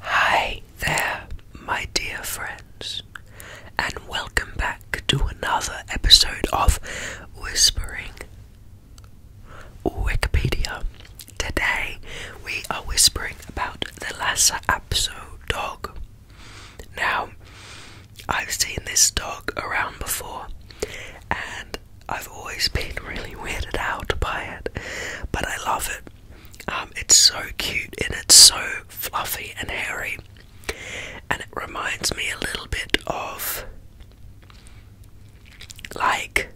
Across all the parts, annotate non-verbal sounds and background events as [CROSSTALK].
Hi there, my dear friends, and welcome back to another episode of Whispering Wikipedia. Today we are whispering about the Lassa Apso dog. Now, I've seen this dog around before, and I've always been really weirded out by it, but I love it. Um, it's so cute and it's so fluffy and hairy, and it reminds me a little bit of like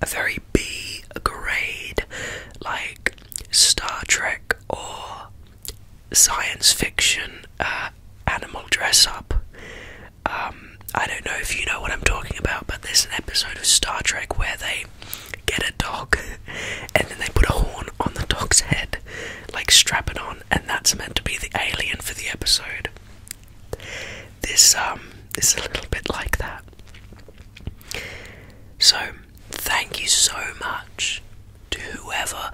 a very B grade, like Star Trek or science fiction uh, animal dress up. Um, I don't know if you know what I'm talking about but there's an episode of Star Trek where they get a dog [LAUGHS] and then they put a horn on the dog's head, like strap it on, and that's meant to be the alien for the episode. This um is a little bit like that. So thank you so much to whoever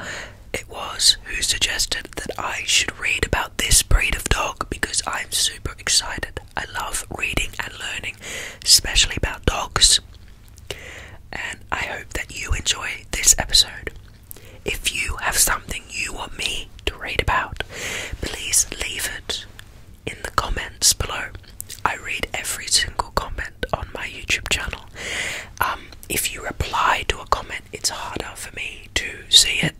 it was who suggested that I should read about this breed of dog because I'm super excited I love reading and learning, especially about dogs. And I hope that you enjoy this episode. If you have something you want me to read about, please leave it in the comments below. I read every single comment on my YouTube channel. Um, if you reply to a comment, it's harder for me to see it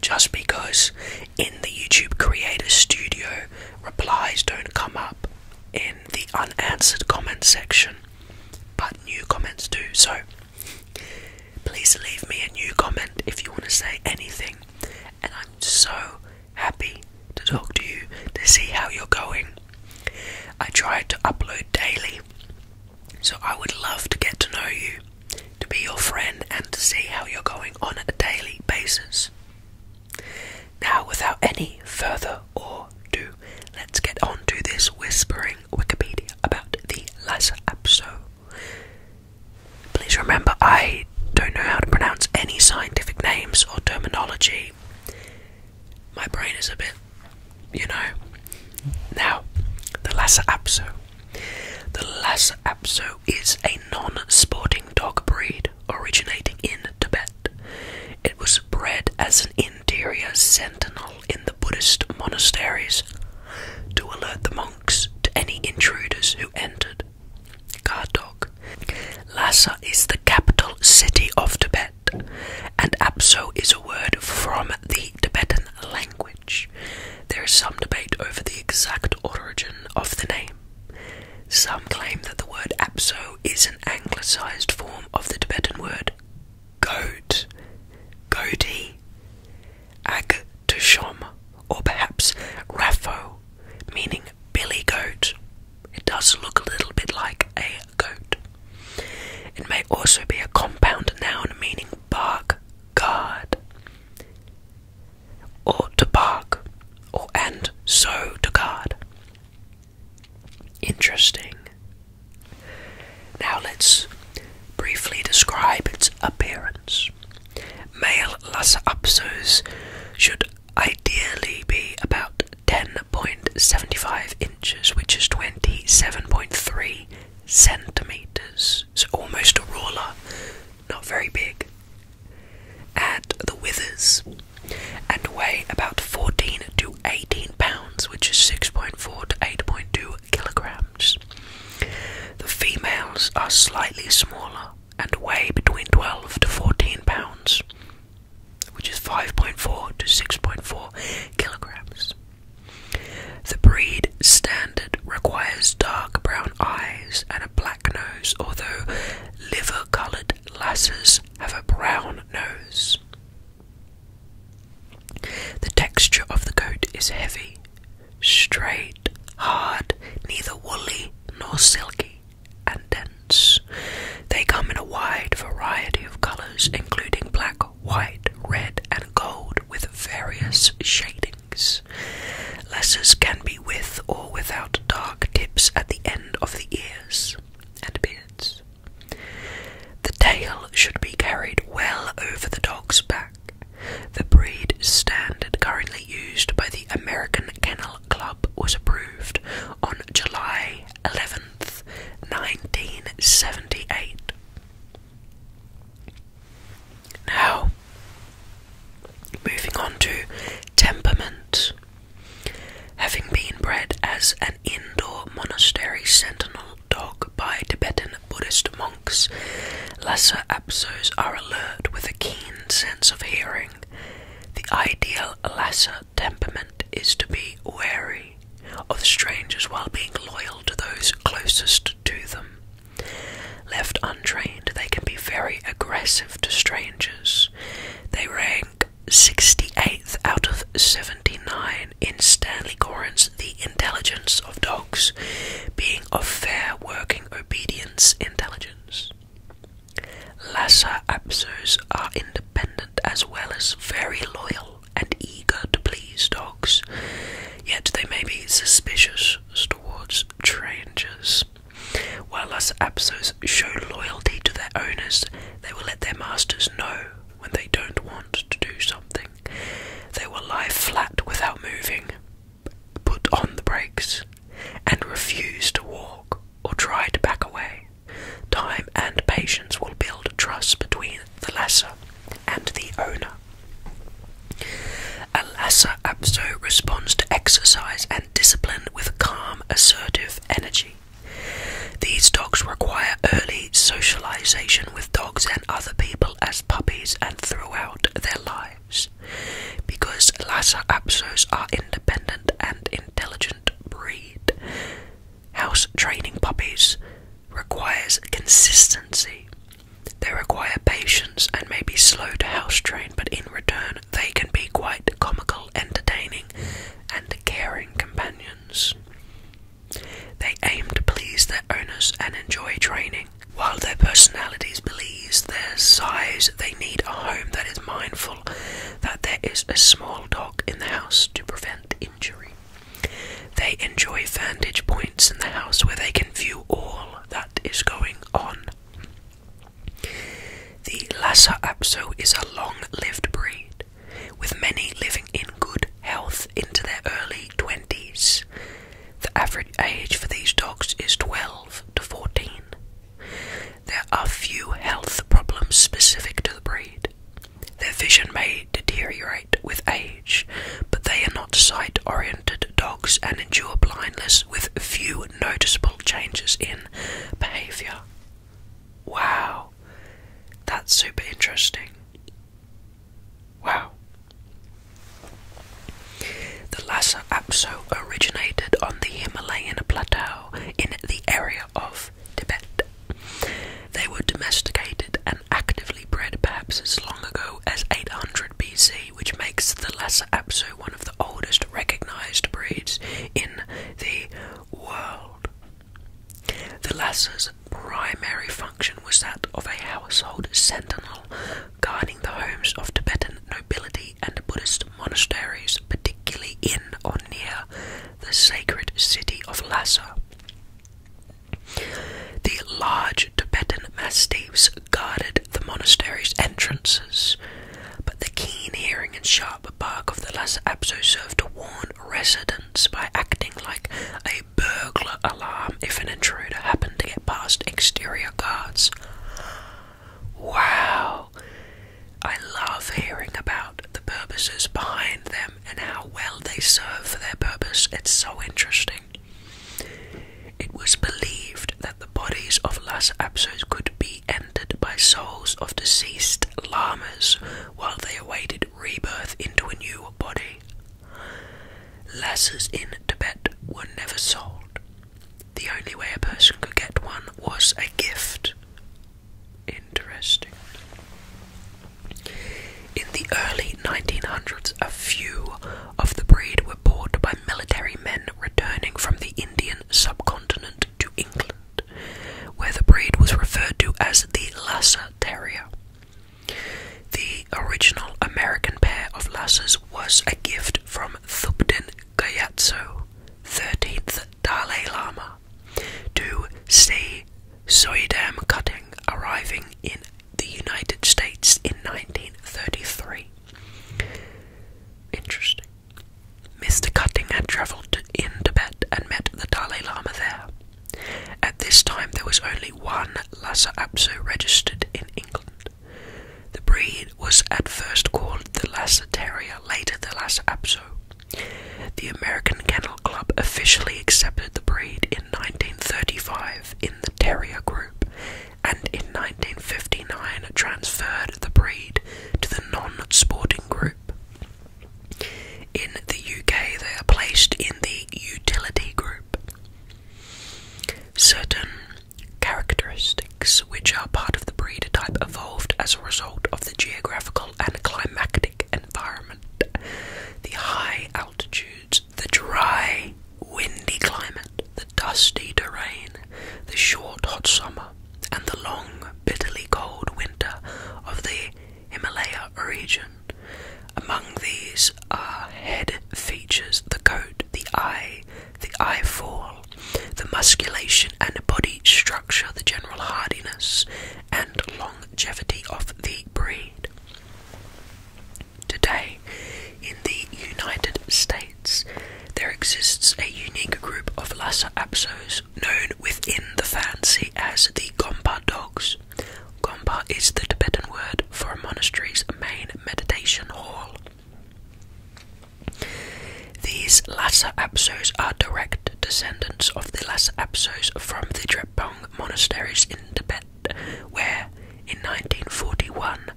just because in the YouTube Creator Studio replies don't come up in the unanswered comments section, but new comments do. So please leave me a new comment if you want to say anything. And I'm so happy to talk to you to see how you're going. I try to upload daily, so I would love to get to know you to be your friend and to see how you're going on a daily basis. Now, without any further ado, let's get on to this whispering Wikipedia about the Lhasa Apso. Please remember, I don't know how to pronounce any scientific names or terminology. My brain is a bit, you know. Now, the Lhasa Apso. The Lhasa Apso is a non-sporting dog breed originating in Tibet. It was bred as an interior sentinel in the Buddhist monasteries to alert the monks to any intruders who entered. Guard dog. Lhasa is the capital city of Tibet, and Apso is a word from the Tibetan language. There is some debate over the exact origin of the name. Some claim that the word apso is an anglicised form of the Tibetan word goat, godi, agtoshom, or perhaps rafo, meaning billy goat. It does look a little bit like a goat. It may also be a compound noun meaning bark, guard or to bark, or and so to guard. Interesting. Now let's briefly describe its appearance. Male Lhasa Apsos should ideally be about 10.75 inches, which is 27.3 centimeters, so almost a ruler, not very big, at the withers, and weigh about 14 to 18 pounds, which is 6.4 to 8.2 kilograms. The females are slightly smaller and weigh between 12 to 14 pounds, which is 5.4 to 6.4 kilograms. The breed standard requires dark brown eyes and a black nose, although liver coloured lasses have a brown nose. The texture of the coat is heavy, straight, hard, neither woolly nor silky, and dense. They come in a wide variety of colours, including black, white, red, and gold, with various shading wings. Lessers can be with or without dark tips at the end of the ears and beards. The tail should be carried well over the dog's back. The breed standard currently used by the American Kennel Club was approved on July 11th, 1978. Now, moving on to temperament. Having been bred as an indoor monastery sentinel dog by Tibetan Buddhist monks, Lhasa Apsos are alert with a keen sense of hearing. The ideal Lhasa temperament is to be wary of strangers while being loyal to those closest to them. Left untrained, they can be very aggressive to strangers. They rank 68th out of 79 in Stanley Corin's The Intelligence of Dogs, being of fair working obedience intelligence. Lhasa Apsos are independent as well as very loyal and eager to please dogs, yet they may be suspicious towards strangers. While us Apsos show loyalty to their owners, they will let their masters know when they don't want to do something. They will lie flat without moving, put on the brakes, and refuse to walk or try to back away. Time and patience will build trust between the lasser and the owner. A lesser apso responds to exercise and discipline with calm, assertive energy. These dogs require early socialization with dogs and other people as puppies and throughout their lives. Because Lhasa Apsos are independent and intelligent breed, house training puppies requires consistency. They require patience and may be slow to house train, but in return, they can be quite comical, entertaining, and caring companions. They aim to please their owners and enjoy training. While their personalities belize their size, they need a home that is mindful that there is a small dog in the house to prevent injury. They enjoy vantage points in the house where they can view all that is going on. The Lhasa Apso is a long lived breed, with many living in good health into their early 20s. The average age for these dogs is 12 to 14. There are few health problems specific to the breed, their vision may deteriorate with age, but they are not sight oriented dogs and endure blindness with few noticeable changes in behavior. Wow, that's super interesting. Wow. The Lhasa Apso originated on the Himalayan plateau in the area of they were domesticated and actively bred perhaps as long ago as 800 BC, which makes the Lhasa Apso one of the oldest recognized breeds in the world. The Lhasa's primary function was that of a household sentinel, guarding the homes of Tibetan nobility and Buddhist monasteries, particularly in or near the sacred city of Lhasa. The large Tibetan mastiffs guarded the monastery's entrances, but the keen hearing and sharp bark of the Lhasa Apso served to warn residents by acting like a burglar alarm if an intruder happened to get past exterior guards. Wow! I love hearing about the purposes behind them and how well they serve for their purpose. It's so interesting. It was believed that the bodies of Lhasa Apsos could be entered by souls of deceased lamas while they awaited rebirth into a new body. Lhasas in Tibet were never sold. The only way a person could get one was a gift, Interesting. In the early 1900s, a few of the breed were bought by military men returning from the Indian subcontinent to England, where the breed was referred to as the Lhasa Terrier. The original American pair of Lhasas was a gift from Thubten Gyatso, 13th Dalai Lama to see Soydam cutting arriving in the United States in 1933. Interesting. Mr. Cutting had travelled in Tibet and met the Dalai Lama there. At this time, there was only one Lhasa Apso registered in England. The breed was at first called the Lhasa Terrier, later the Lhasa Apso. The American Kennel Club officially accepted the breed in 1935 in the Terrier Group and in 1959 transferred the breed to the non-sporting group. In the UK they are placed in the utility group. Certain characteristics which are part of the breed type evolved as a result of the geographical and climatic environment. The high altitudes, the dry, windy climate, the dusty terrain, the short hot summer, and the long, bitterly cold winter of the Himalaya region. Among these are head features, the coat, the eye, the eye fall, the musculation and body structure, the general hardiness and longevity of the breed. Today, in the United States, there exists a unique group of Lhasa Apsos known within the fancy as the Gompa dogs. Gompa is the Tibetan word for a monastery's main meditation hall. These Lhasa Apsos are direct descendants of the Lhasa Apsos from the Drepung monasteries in Tibet, where, in 1941,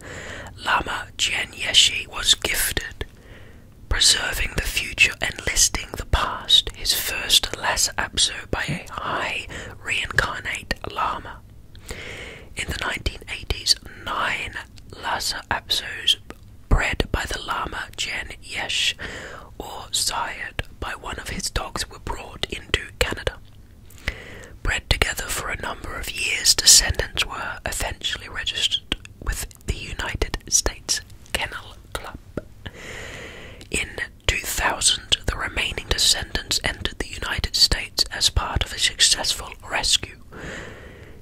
Lama Chen Yeshi was gifted. Preserving the future and listing the past, his first Lhasa Apso by a high reincarnate Lama. In the 1980s, nine Lhasa Apsos bred by the Lama Jen Yesh or sired by one of his dogs were brought into Canada. Bred together for a number of years, descendants were eventually registered with the United States Kennel Club. In 2000, the remaining descendants entered the United States as part of a successful rescue.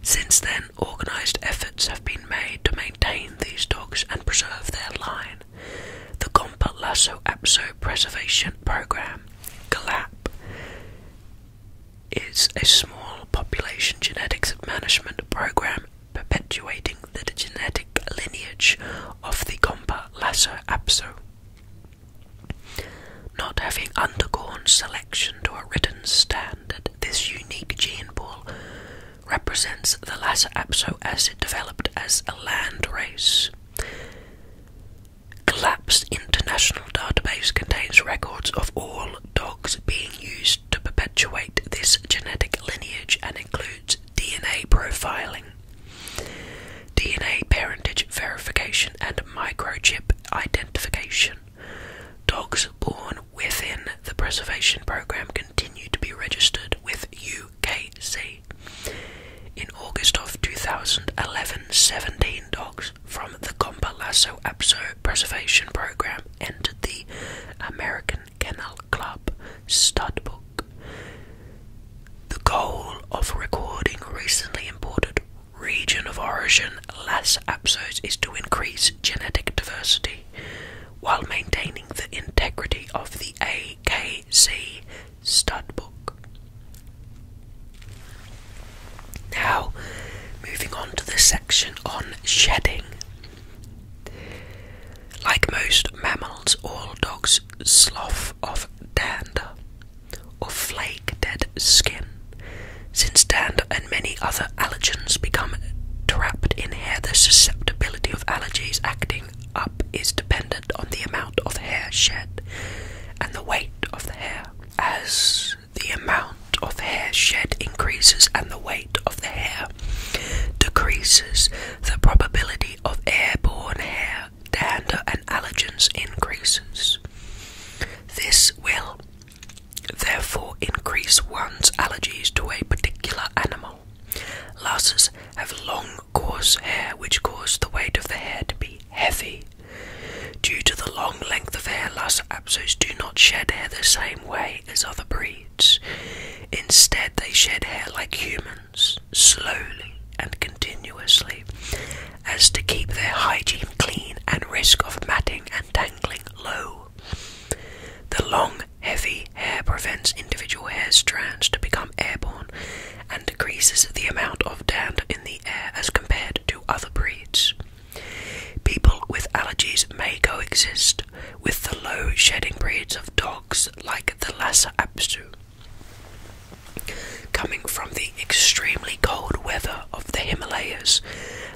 Since then, organised efforts have been made to maintain these dogs and preserve their line. The Gompa Lasso Apso Preservation Program, GLAP, is a small population genetics management program perpetuating the genetic lineage of the Gompa Lasso Apso. Not having undergone selection to a written standard, this unique gene pool represents the latter Apso as it developed as a land race. Collapsed International Database contains records of all dogs being used to perpetuate this genetic lineage and includes DNA profiling, DNA parentage verification, and microchip identification. Dogs born within the preservation program continue to be registered with UKC. In August of 2011, 17 dogs from the Compa Apso Preservation Program entered the American Kennel Club studbook. The goal of recording recently imported region of origin Lasso Absos is to increase genetic diversity while maintaining the integrity of the AKC studbook. Now, moving on to the section on shedding. Like most mammals, all dogs slough off dander or flake dead skin since dander and many other allergens become trapped in hair, the susceptibility of allergies acting up is dependent on the amount of hair shed and the weight of the hair. As the amount of hair shed increases and the weight of the hair decreases, the probability of airborne hair dander and allergens increases. This will therefore increase one's allergies to a particular animal. Lasses have long, coarse hair which cause the weight of the hair to be heavy. Due to the long length of hair, Lhasa Apsos do not shed hair the same way as other breeds. Instead, they shed hair like humans, slowly and continuously, as to keep their hygiene clean and risk of matting and tangling low. The long, heavy hair prevents individual hair strands to become airborne and decreases the amount of dander in the air as compared to other breeds. People with allergies may coexist with the low shedding breeds of dogs like the Lhasa Apso. Coming from the extremely cold weather of the Himalayas.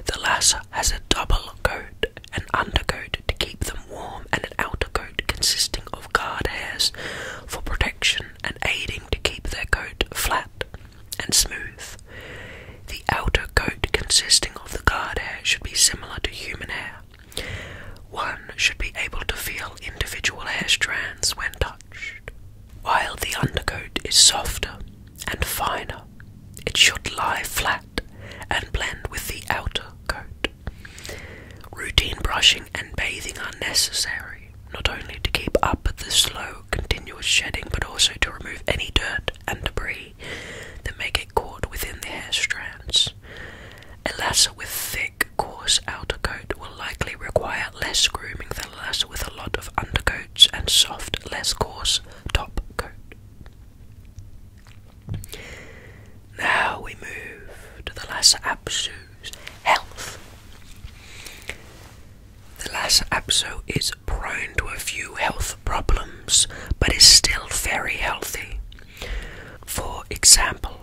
The latter has a double coat, an undercoat to keep them warm, and an outer coat consisting of guard hairs for protection and aiding to keep their coat flat and smooth. The outer coat consisting of the guard hair should be similar to human hair. One should be able to feel individual hair strands when touched, while the undercoat is softer and finer. It should lie flat and blend with the outer coat. Routine brushing and bathing are necessary, not only to keep up with the slow, continuous shedding, but also to remove any dirt and debris that may get caught within the hair strands. A lasso with thick, coarse outer coat will likely require less grooming than a lasso with a lot of undercoat and soft, less coarse top coat. Now we move to the Lhasa Apsu's health. The Lhasa Apso is prone to a few health problems, but is still very healthy. For example,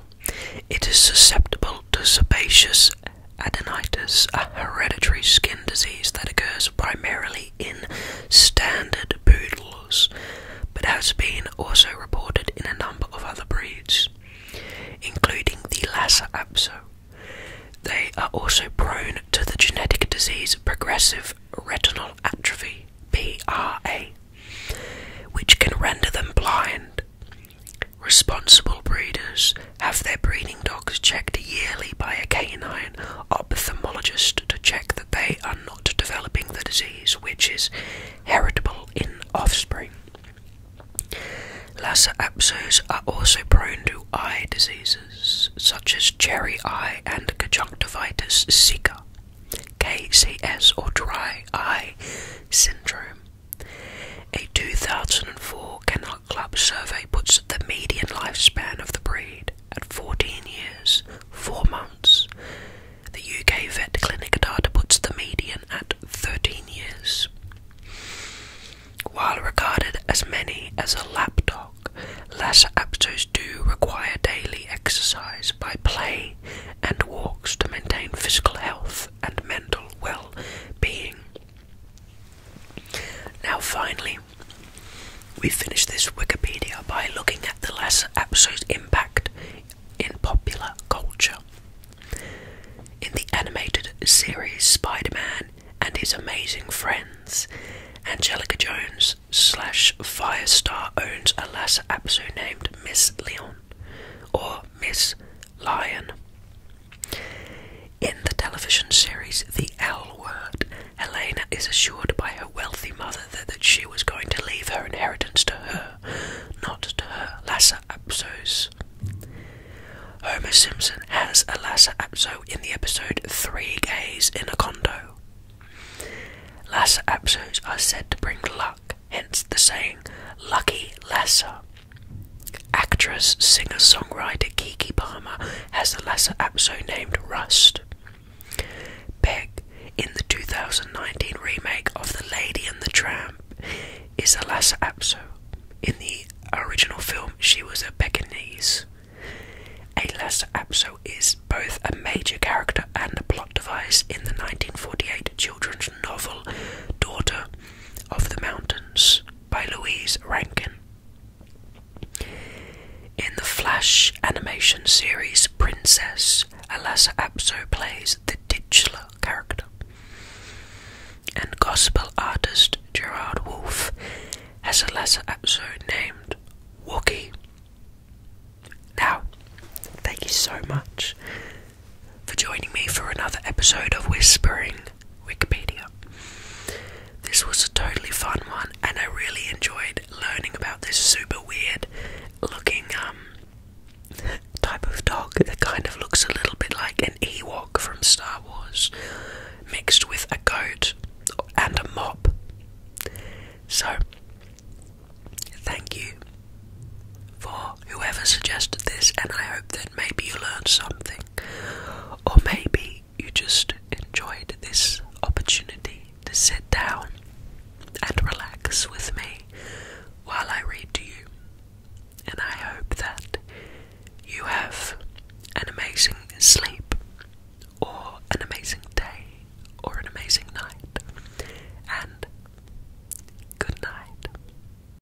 it is susceptible to sebaceous adenitis, a hereditary skin disease that occurs primarily in standard poodles, but has been also reported in a number of other breeds, including the Lhasa Apso. They are also prone to the genetic disease progressive retinal atrophy, PRA, which can render them blind. Responsible breeders have their breeding dogs checked yearly by a canine ophthalmologist to check that they are not developing the disease, which is heritable in offspring. Lassa apsos are also prone to eye diseases, such as cherry eye and conjunctivitis sicca, KCS, or dry eye syndrome. A 2004 Canal Club survey puts the median lifespan of the breed at 14 years, 4 months. The UK Vet Clinic data puts the median at 13 years. While regarded as many as a lapdog, Lhasa Apsos do require daily exercise by play and walks to maintain physical health and mental well being. Now, finally, we finish this Wikipedia by looking at the last episode's impact in popular culture. In the animated series Spider Man and His Amazing Friends, Angelica Jones slash Firestar owns a last episode named Miss Leon or Miss Lion. In the television series The L Word, Elena is assured by her wealthy mother that, she was going to leave her inheritance to her, not to her Lassa apso. Homer Simpson has a Lassa Apso in the episode Three Gays in a Condo. Lassa apsoes are said to bring luck, hence the saying, Lucky Lassa, Actress, singer, songwriter Kiki Palmer has a latter Apso named Rust. Peg, in the 2019 remake of The Lady and the Tramp, is the latter episode. In the original film, she was a Pekingese. A latter episode is both a major character and a plot device in the 1948 children's novel Daughter of the Mountains by Louise Rankin. In the Flash animation series Princess, Alassa Apso plays the titular character. And gospel artist Gerard Wolfe has Alassa Apso named Wookie. Now, thank you so much for joining me for another episode of Whispering Wikipedia. This was a totally fun one, and I really enjoyed learning about this super weird looking um, [LAUGHS] type of dog that kind of looks a little bit like an Ewok from Star Wars, mixed with a goat and a mop. So, thank you for whoever suggested this, and I hope that maybe you learned something. Or maybe you just enjoyed this opportunity to sit down and relax with me while I read to you. And I hope that you have an amazing sleep, or an amazing day, or an amazing night. And good night.